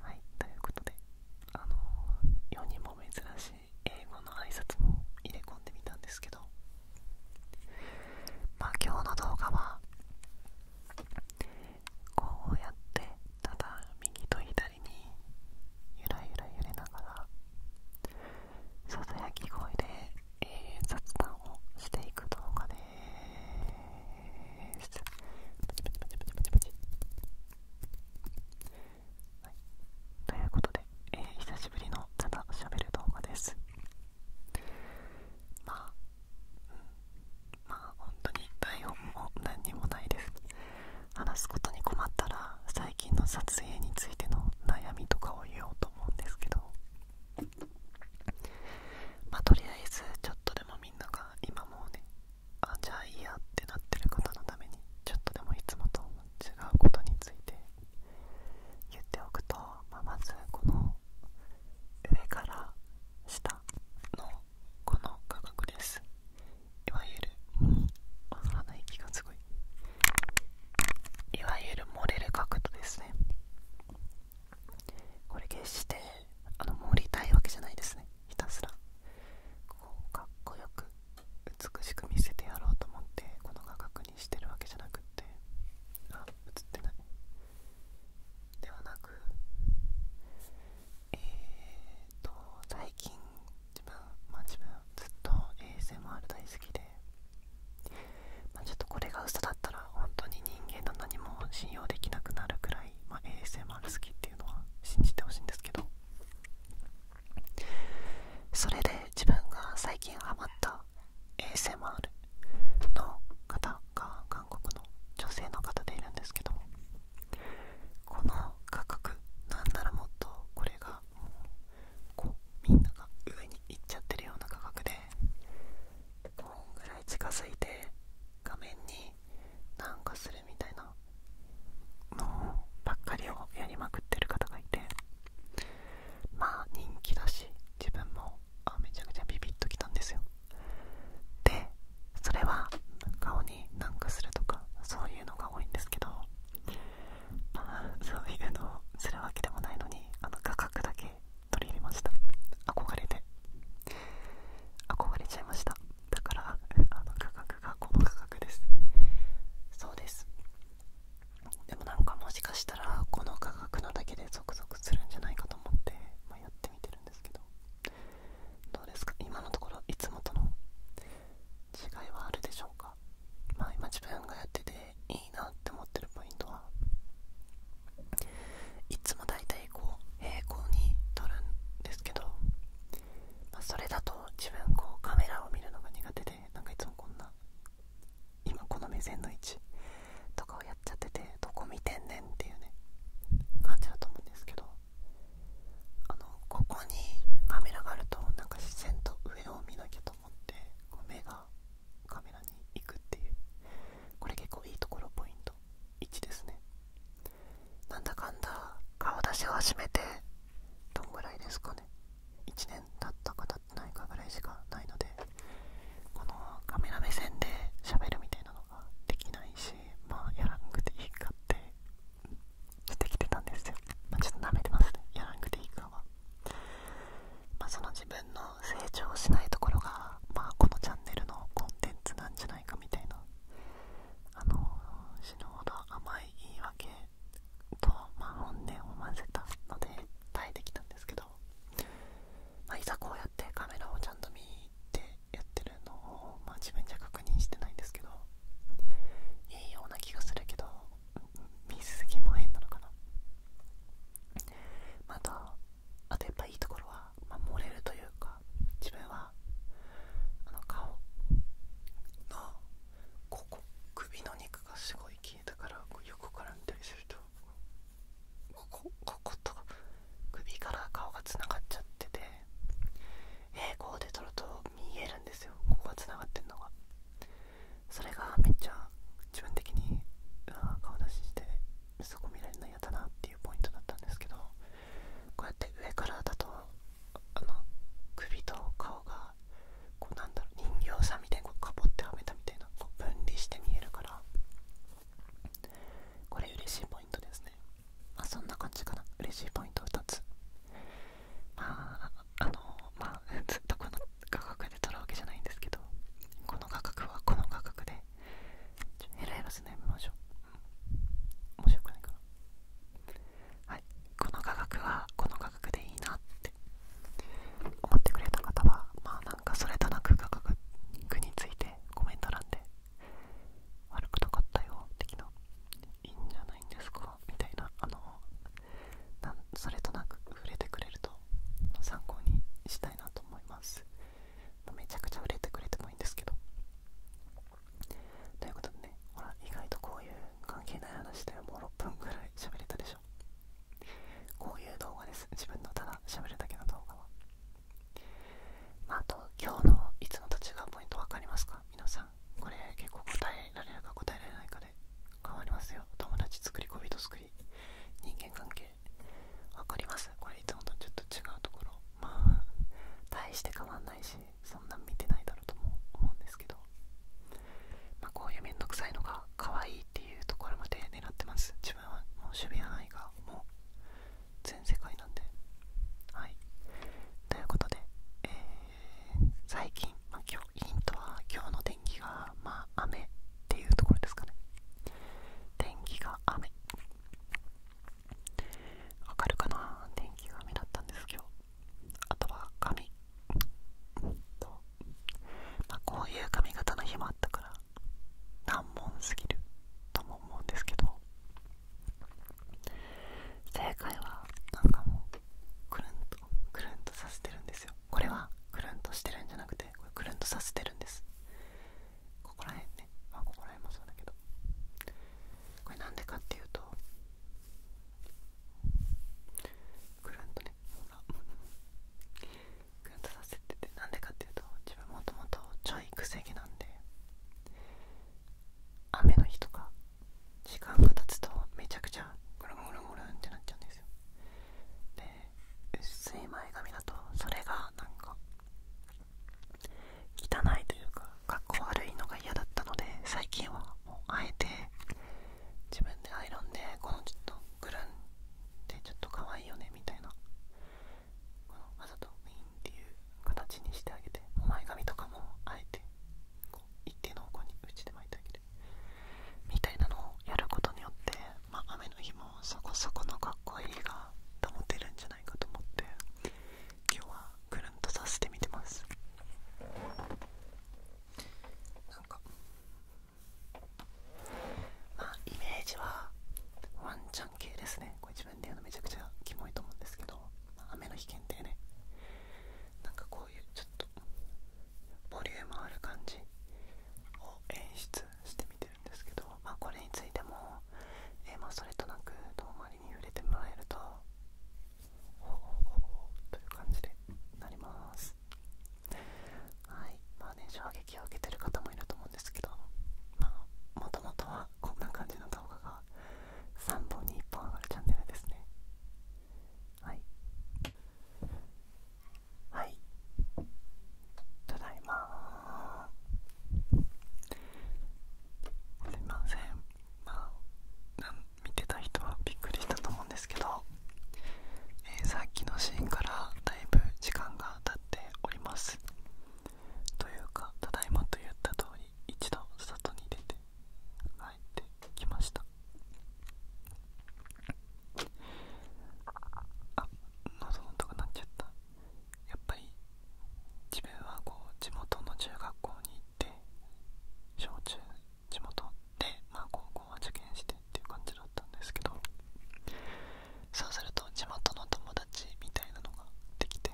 はいということであの世にも珍しい英語の挨拶も入れ込んでみたんですけどまあ今日の動画はこうやってただ右と左にゆらゆら揺れながらささやき声でえ雑談をしていく動画です。ですパチパチパチパチパチパチということで、え久しぶりのただしゃべる動画ですまあまあ本当に台本も何にもないです話すことに困ったら最近の撮影についての悩みとかを言おうと思うんですけどまあとりあえずちょっとでもみんなが今もうねあじゃあいいやってなってる方のためにちょっとでもいつもと違うことについて言っておくと、ままずこの上から下のこの画角ですいわゆる鼻息がすごいいわゆる漏れる角度ですねこれ決してあの盛りたいわけじゃないですねねひたすらこうかっこよく美しく見せてやろうと思ってこの画角にしてるわけじゃなくってあ映ってないではなくえーと最近自分まあ自分ずっと ASMR 大好きでまあちょっとこれが嘘だったら本当に人間の何も信用できなくなるくらいま ASMR 好きっていうのは信じてほしいんですけどそれで自分が最近ハマった ASMR の方が韓国の女性の方でいるんですけどこの価格なんならもっとこれがもうこうみんなが上に行っちゃってるような価格でこんぐらい近づいて画面になんかするみたいなのばっかりをやりまくってる方がいてまあ人気だし自分もあめちゃくちゃビビッときたんですよでそれは顔になんかするとかそういうのが多いんですけどまあそういうのをするわけでもないのにあの画角だけ取り入れました憧れて憧れちゃいましただからあの価格がこの価格ですそうですでもなんかもしかしたらこの価格のだけでゾクゾクするんじゃないかと思って、まやってみてるんですけどどうですか今のところいつもとの違いはあるでしょうかまあ今自分がやってていいなって思ってるポイントはいつも大体こう平行に撮るんですけど、まそれだと自分こうカメラを見るのが苦手でなんかいつもこんな今この目線の位置とかをやっちゃっててどこ見てんねんっていうね感じだと思うんですけどあのここにカメラがあるとなんか自然と上を見なきゃと思ってこう目がカメラに行くっていうこれ結構いいところポイント。と1ですねなんだかんだ顔出しを始めてどんぐらいですかね1年経ったか経ってないかぐらいしかないのでこのカメラ目線で喋るみたいなのができないしまあやらんくていいかってできてたんですよまちょっと舐めてますねやらんくていいかはまその自分の成長しないところが、まあ、このチャンネルのコンテンツなんじゃないかみたいなあの死ぬほど甘い言い訳と、まあ、本音を混ぜたので耐えてきたんですけど、まあ、いざこうやってカメラをちゃんと見てやってるのを、まあ、自分じゃ確認してないんですけどいいような気がするけど見すぎも変なのかなまたあとやっぱいいところは漏れるというか自分はあの顔のここ首の肉がすごい消えたから横から見たりするとここここと首から顔がつながっちゃってて平行で撮ると見えるんですよここがつながってんのがそれがめっちゃ自分的に顔出ししてそこ見られないやっなっていうポイントだったんですけどこうやって上からだとあの首と顔がこうなんだろう人形さんみたいにこうかぼってはめたみたいなこう分離して見えるからこれ嬉しいポイントですねまそんな感じかな嬉しいポイント2つまああのまあ ずっと価格で取るわけじゃないんですけどこの価格はこの価格で面白くないかなはいこの価格はこの価格でいいなって思ってくれた方はまあなんかそれとなく価格についてコメント欄で悪くなかったよ的ないいんじゃないんですかみたいなあのなんそれとなく触れてくれると参考にしたいなと。思いますめちゃくちゃ売れてくれてもいいんですけどということでねほら意外とこういう関係ない話でもう6分ぐらい喋れたでしょこういう動画です自分のただ喋るだけの動画は、あ、と今日のいつのと違うポイント分かりますか皆さんこれ結構答えられるか答えられないかで変わりますよ友達作り恋人作り作り人間関係わかりますこれいつもとちょっと違うところまあ大して変わんないしそんな見てないだろうとも思うんですけどまあこういう面倒くさいのが可愛いっていうところまで狙ってます自分はもう守備や愛がもう全世界なんではいということで、え最近、ヒントは今日の天気がまあ雨っていうところですかね天気が雨わるかな天気が雨だったんですけど。あとは髪こういう髪型の日もあったから難問すぎるとも思うんですけど正解はなんかもうくるんとくるんとさせてるんですよこれはくるんとしてるんじゃなくてこれくるんとさせてるんですここら辺ねまあここら辺もそうだけどこれなんでかっていうとくるんとねほらくるんとさせててなんでかっていうと自分もともとちょいくせ毛なんで雨の日とか時間が経つとめちゃくちゃゴロゴるゴるんってなっちゃうんですよで薄い前髪だとそれがなんか汚いというかかっこ悪いのが嫌だったので最近はもうあえて自分でアイロンでこのちょっとグルンってちょっと可愛いよねみたいなこのわざとウィンっていう形にしてあげて前髪とかもあえてこう一定の方向に打ちで巻いてあげてみたいなのをやることによって、まあ、雨の日もそこそこのかっこいいが保てるんじゃないかと思って今日はくるんとさせてみてまなんかまあイメージはワンちゃん系ですねこれ自分で言うのめちゃくちゃキモいと思うんですけど、まあ、雨の日限定ねなんかこういうちょっとボリュームある感じを演出してみてるんですけど、まあ、これについても、えまそれとなく遠回りに揺れてもらえるとおおおという感じでなりますはいまあね衝撃を受けてる方もいると思うんですけどまあもともとはこんな感じの動画が3本に1本上がるチャンネルですねはいはいただいますいませんまあなん見てた人はびっくりしたと思うんですけど、えー、さっきのシーンからだいぶ時間が経っておりますというかただいまと言った通り一度外に出てはい。入ましたあのとこなっちゃったやっぱり自分はこう地元の中学校に行って小中地元で、まあ、高校は受験してっていう感じだったんですけどそうすると地元の友達みたいなのができて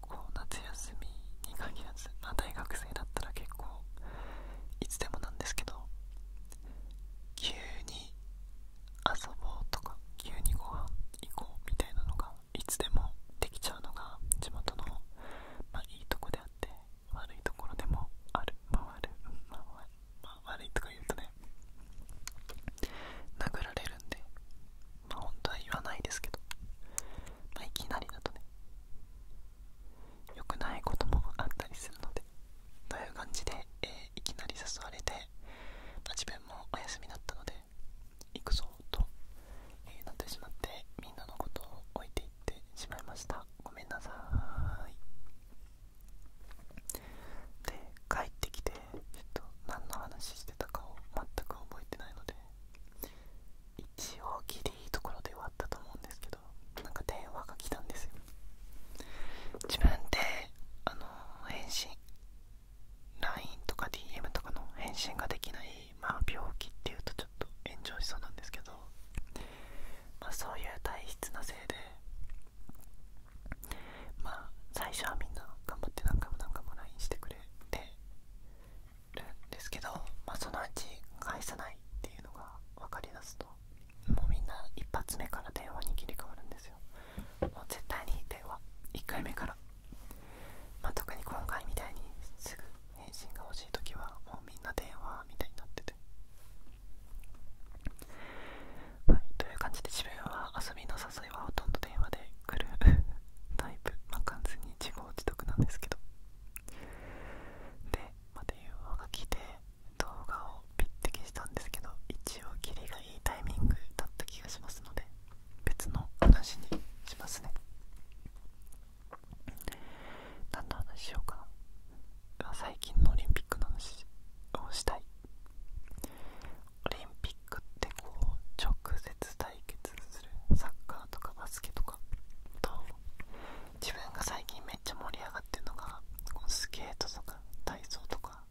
こう夏休みに限らず、ま大学生だったら結構いつでもなんですけど急に遊ぼうとか急にご飯行こうみたいなのがいつでもできちゃうのが地元の、まいいとこであって悪いところでもあるまあ悪,、まあま悪いとか言うとね殴られるんでまあ本当は言わないですけど、まあ、いきなりだとね良くないこともあったりするのでという感じで、えいきなり誘われて、ま自分もお休みだったので行くぞと、えなってしまってみんなのことを置いていってしまいましたごめんなさいで帰ってきて、えっと、何の話してたかを全く覚えてないので一応ギりいいところで終わったと思うんですけどなんか電話が来たんですよ自分であの返信 LINE とか DM とかの返信ができないまあ病気っていうとちょっと炎上しそうなんですけどまそういう体質のせいでまあ最初はみんな頑張って何回も何回も LINE してくれてですけど、まあ、そのうち返さないっていうのが分かりだすともうみんな一発目から電話に切り替わるんですよもう絶対に電話1回目から、ま特に今回みたいにすぐ返信が欲しい時はもうみんな電話みたいになっててはいという感じで自分は遊びの誘いはほとんど電話で来るタイプまあ完全に自業自得なんですけどでまた u f が来て動画をピッて消したんですけど一応キリがいいタイミングだった気がしますので別の話にしますね何の話しようかな最近のオリンピックの話をしたいオリンピックってこう直接対決するサッカーとかバスケとかと自分が最近めっちゃ盛り上がってるのがこうスケートとか体操とか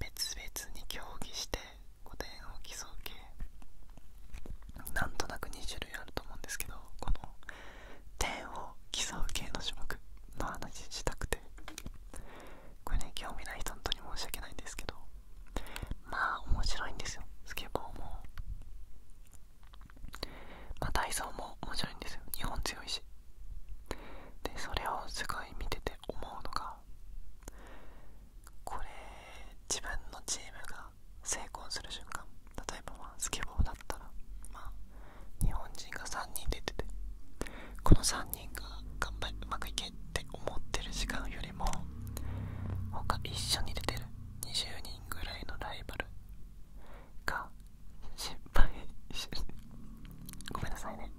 別々に競技して点を競う系なんとなく2種類あると思うんですけどこの点を競う系の種目の話したくてこれね興味ない人本当に申し訳ないんですけどまあ面白いんですよスケボーもまあ体操も面白いんですよ日本強いしでそれをすごい見てて思うのがこれ自分のチームが成功する瞬間例えばスケボーだったらまあ日本人が3人出ててこの3人が頑張りうまくいける。って思ってる時間よりも他一緒に出てる20人ぐらいのライバルが失敗しごめんなさいね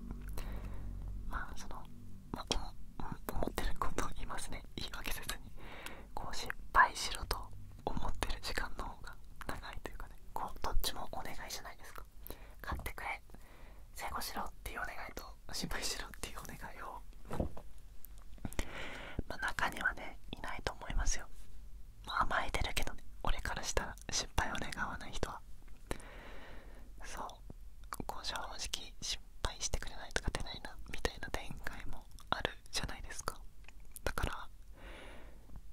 まあその、まあ、思ってることを言いますね言い訳せずにこう失敗しろと思ってる時間の方が長いというかねこうどっちもお願いじゃないですか買ってくれ成功しろっていうお願いと心配しろっていうお願いをまあ中にはねいないと思いますよ、甘えてるけどね俺からしたら失敗を願わない人はそうこう正直失敗してくれないとか出ないなみたいな展開もあるじゃないですかだから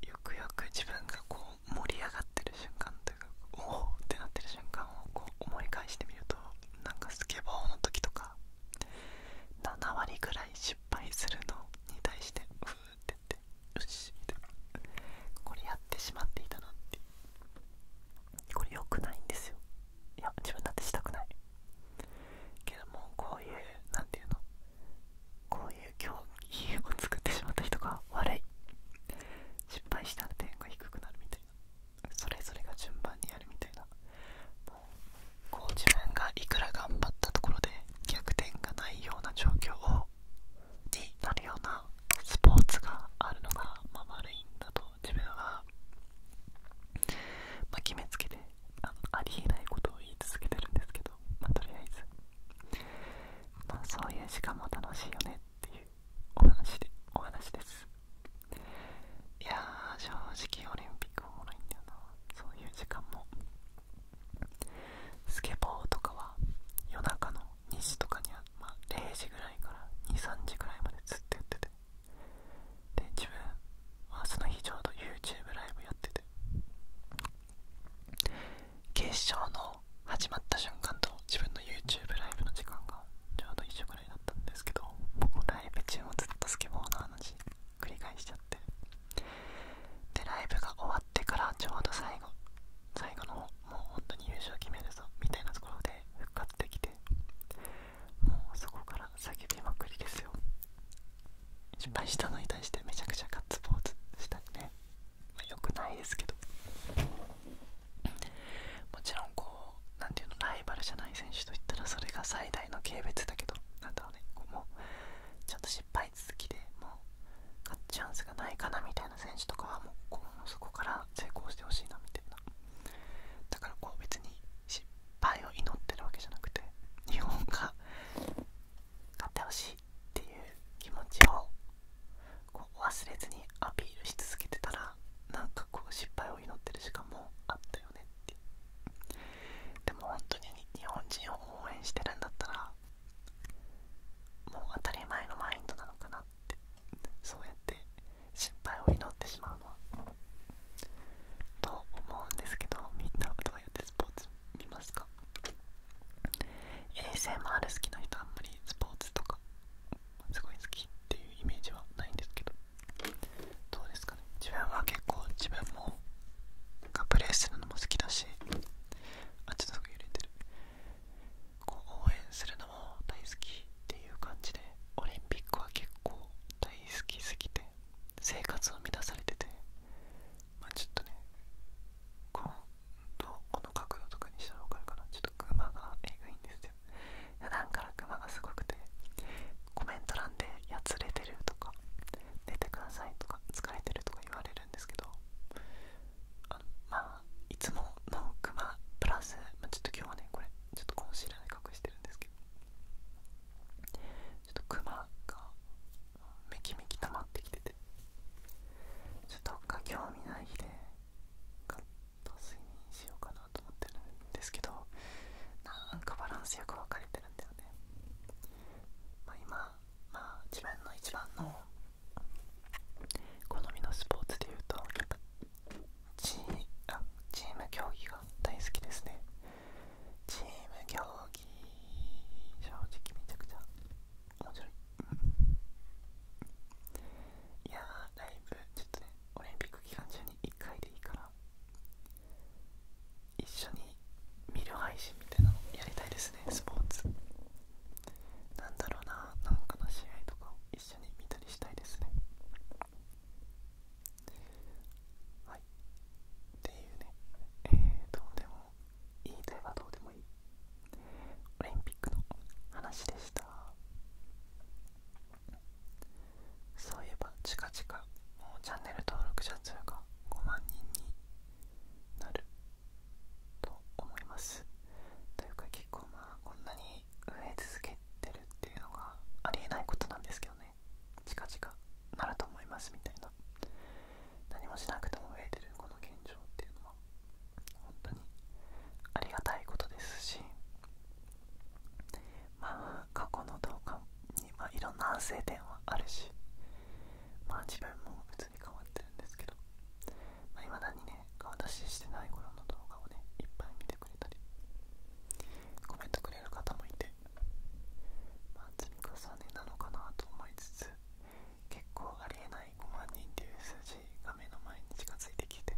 よくよく自分がこう盛り上がってる瞬間というかおおってなってる瞬間をこう思い返してみるとなんかスケボーの時とか7割ぐらい失敗するのに対してうーって言ってよしみたいなこれやってしまっていたなってこれ良くないんですよいや自分だってしたくないけどもこういう何て言うのこういう競技を作ってしまった人が悪い失敗したら点が低くなるみたいなそれぞれが順番にやるみたいなこう自分がいくら頑張ったところで逆転がないような状況をになるようなスポーツがあるのが、まあ、悪いんだと自分は、ま決めつけてあのありえないことを言い続けてるんですけど、まとりあえず、まあ、そういう時間も楽しいよねっていうお話でお話ですいや正直オリンピックおもろいんだよなそういう時間もスケボーとかは夜中の2時とかには、ま0時ぐらいから23時ぐらいまでずっとやっててで自分はその日ちょうど YouTube ライブやってて決勝の始まった瞬間と自分の YouTube ライブの時間がちょうど一緒ぐらいだったんですけど僕ライブ中もずっとスケボーの話繰り返しちゃってでライブが終わってからちょうど最後最後のもう本当に優勝決めるぞみたいなところで復活できてもうそこから叫びまくりですよ失敗したのに対してめちゃくちゃガッツポーズしたりね、まあ、よくないですけどもちろんこう何ていうのライバルじゃない選手といったらそれが最大の軽蔑だけどなんだろうねこうもうちょっと失敗続きでもう勝つチャンスがないかなみたいな選手とかはもうこうそこから成功してほしいなみたいなだからこう別に失敗を祈ってるわけじゃなくて日本が勝ってほしいっていう気持ちをこう忘れずにアピールし続けてたらなんかこう失敗を祈ってるしかもあったよねってでも本当に日本人を応援してるんだったらもう当たり前のマインドなのかなってそうやって失敗を祈ってしまうのはと思うんですけどみんなはどうやってスポーツ見ますか ASMR 好きな人あんまりスポーツとかすごい好きっていうイメージはないんですけどどうですかね自分は結構自分もがプレイするのも好きだしあちょっとすぐ揺れてるこう応援するのも大好きっていう感じでオリンピックは結構大好きすぎて生活を乱されててまちょっとねとこの角度とかにしたら分かるかなちょっとクマがえぐいんですよ普段からクマがすごくてコメント欄で「やつれてる」とか「寝てください」とか「疲れてる」とか言われるんですけどあのまあいつものクマプラス、まあ、ちょっと今日はねこれちょっとコンシーラーで隠してるんですけどちょっとクマがめきめき溜まってきててちょっとどっか興味ない日でカットスにしようかなと思ってるんですけどなんかバランスよく分かれてるんだよね、まあ、今、まあ、自分の一番の好みのスポーツでいうとチーあチーム競技が大好きですねチーム競技正直めちゃくちゃ面白いいやーライブちょっとねオリンピック期間中に1回でいいから一緒に見る配信みたいなのやりたいですねスポーツなんだろうななんかの試合とかを一緒に見たりしたいですねはいっていうねえーとでもいいたいはどうでもいいオリンピックの話でしたそういえば近々もうチャンネル登録者数が5万人になると思いますというか結構まあこんなに増え続けてるっていうのがありえないことなんですけどね近々なると思いますみたいな何もしなくても増えてるこの現状っていうのは本当にありがたいことですしまあ過去の動画に、まあ、いろんな反省点はあるしまあ自分も別に変わってるんですけどいまあ、だにね顔出ししてない頃の動画をねいっぱい見てくれたりコメントくれる方もいてまあ積み重ねなのかなと思いつつ結構ありえない5万人っていう数字が目の前に近づいてきて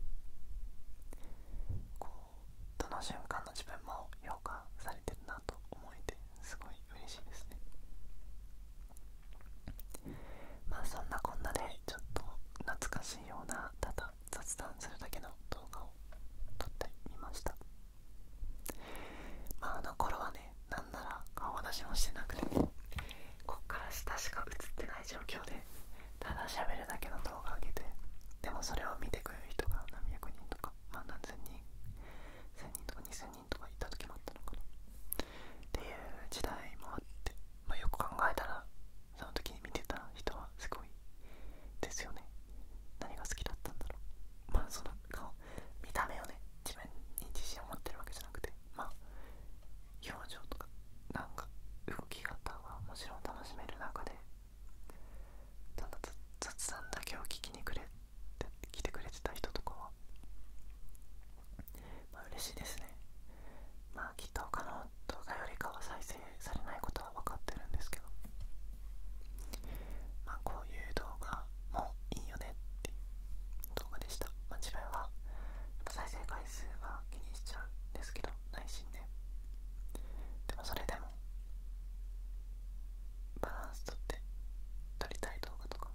こうどの瞬間の自分も評価されてるなと思えてすごい嬉しいですねまあそんなこんなでちょっと懐かしいようなただ雑談するだけの動画を撮ってみましたまああの頃はねねなんなら顔出しもしてなくてこっから下しか映ってない状況でただ喋るだけの動画を上げてでもそれを見てくれる人が何百人とか、ま何千人1000人とか2000人とかいた時もあったのかなっていう時代もあって、まよく考えたらその時に見てた人はすごいですよね何が好きだったんだろうまあその顔見た目をね自分に自信を持ってるわけじゃなくてまあ表情とかなんか動き方はもちろん楽しめる中でただ雑談だけを聞きにくれて来てくれてた人とかはまあ嬉しいですねまあきっと他の動画よりかは再生されないことは分かってるんですけどまあこういう動画はもういいよねって動画でした、まあ、自は再生回数は気にしちゃうんですけど内心で。でもそれでもバランスとって撮りたい動画とか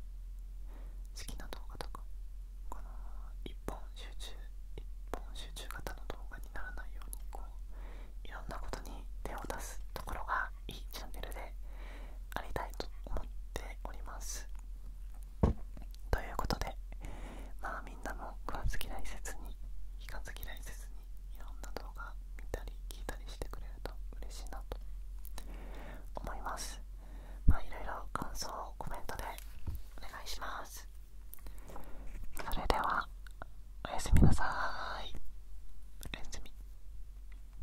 好きな動画とかこの一本集中一本集中型の動画にならないようにこういろんなことに手を出すところがいいチャンネルでありたいと思っておりますということでまあみんなも食わず嫌いせずに聞かず嫌いせずにいろんな動画見たり聞いたりしてくれると嬉しいなと思いますまあいろいろ感想コメントでお願いしますそれではおやすみなさーいおやすみ